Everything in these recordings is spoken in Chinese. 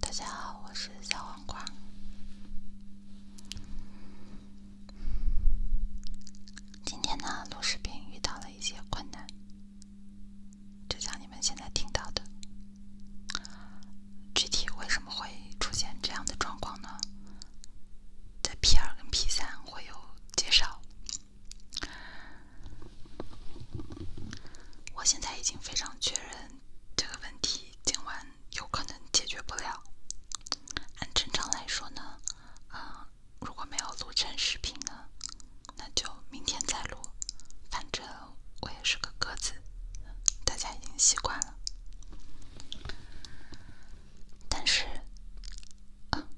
大家好，我是小黄瓜。今天呢，录视频遇到了一些困难，就像你们现在听到的。具体为什么会出现这样的状况呢？在 P 二跟 P 三会有介绍。我现在已经非常确认这个问题今晚有可能解决不了。按正常来说呢，啊，如果没有录成视频呢，那就明天再录。反正我也是个鸽子，大家已经习惯了。但是，啊。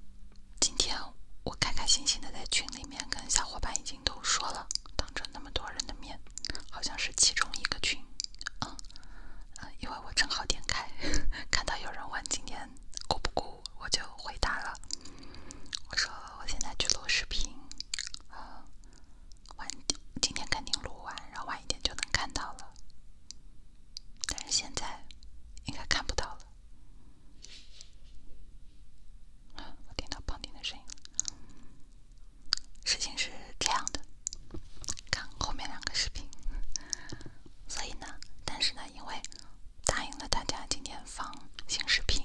今天我开开心心的在群里面跟小伙伴已经都说了，当着那么多人的面，好像是其中一个群，嗯，因为我正好点开，看到有人问今天过不过，我就回答了，我说我现在去录视频，嗯，晚点今天肯定录完，然后晚一点就能看到了，但是现在应该看不到了。我听到旁听的声音事情是这样的，看后面两个视频。所以呢，但是呢，因为答应了大家今天放新视频，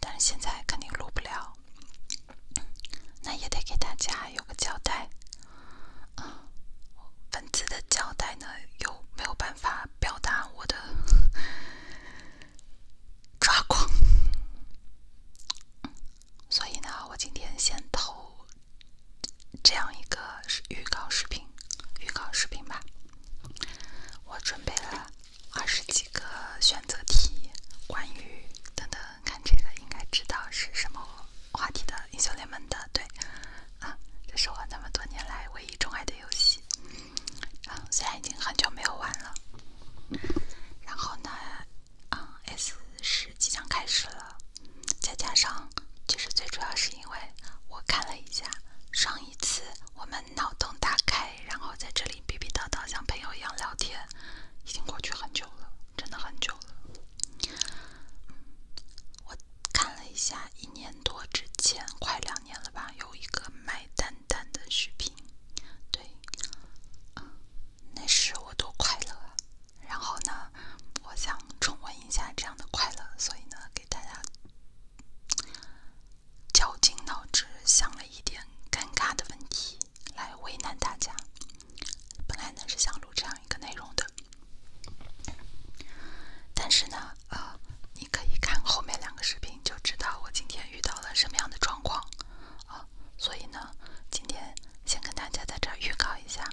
但是现在肯定录不了，那也得给大家有个交代。啊，文字的交代呢，又没有办法。表达我的 抓狂，所以呢，我今天先投这样一个预告视频，预告视频吧。我准备了二十几个选择题，关于等等，看这个应该知道是什么话题的，英雄联盟的，对。啊，这是我那么多年来唯一钟爱的游戏，啊，虽然已经很久没有玩了。然后呢，啊，S 十即将开始了，再加上，其实最主要是因为我看了一下，上一次我们脑洞大开，然后在这里逼逼叨叨，像朋友一样聊天，已经过去很久了，真的很久了。我。看了一下一年多之前，快两年了吧，有一个卖蛋蛋的视频，对，那时我多快乐啊！然后呢，我想重温一下这样的快乐，所以呢，给大家绞尽脑汁想了一点尴尬的问题来为难大家。本来呢是想录这样。一个内容的，但是呢，呃，你可以看后面两个视频就知道我今天遇到了什么样的状况啊，所以呢，今天先跟大家在这儿预告一下，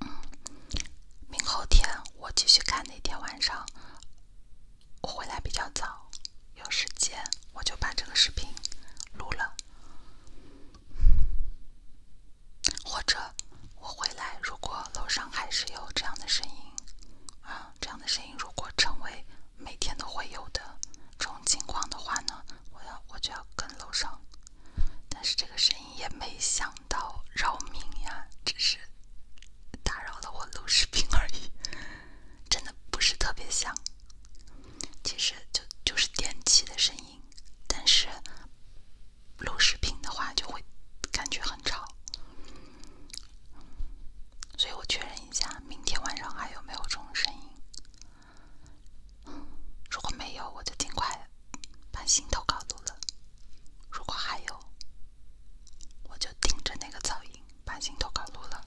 嗯，明后天我继续看那天晚上，我回来比较早，有时间我就把这个视频录了。或者我回来，如果楼上还是有这样的声音啊，这样的声音如果成为每天都会有的这种情况的话呢，我要我就要跟楼上。但是这个声音也没想到扰民呀，只是打扰了我录视频而已，真的不是特别响。其实就就是电器的声音。但是录视频的话就会感觉很吵，所以我确认一下，明天晚上还有没有这种声音？如果没有，我就尽快把心都搞录了；如果还有，我就盯着那个噪音把新投搞录了。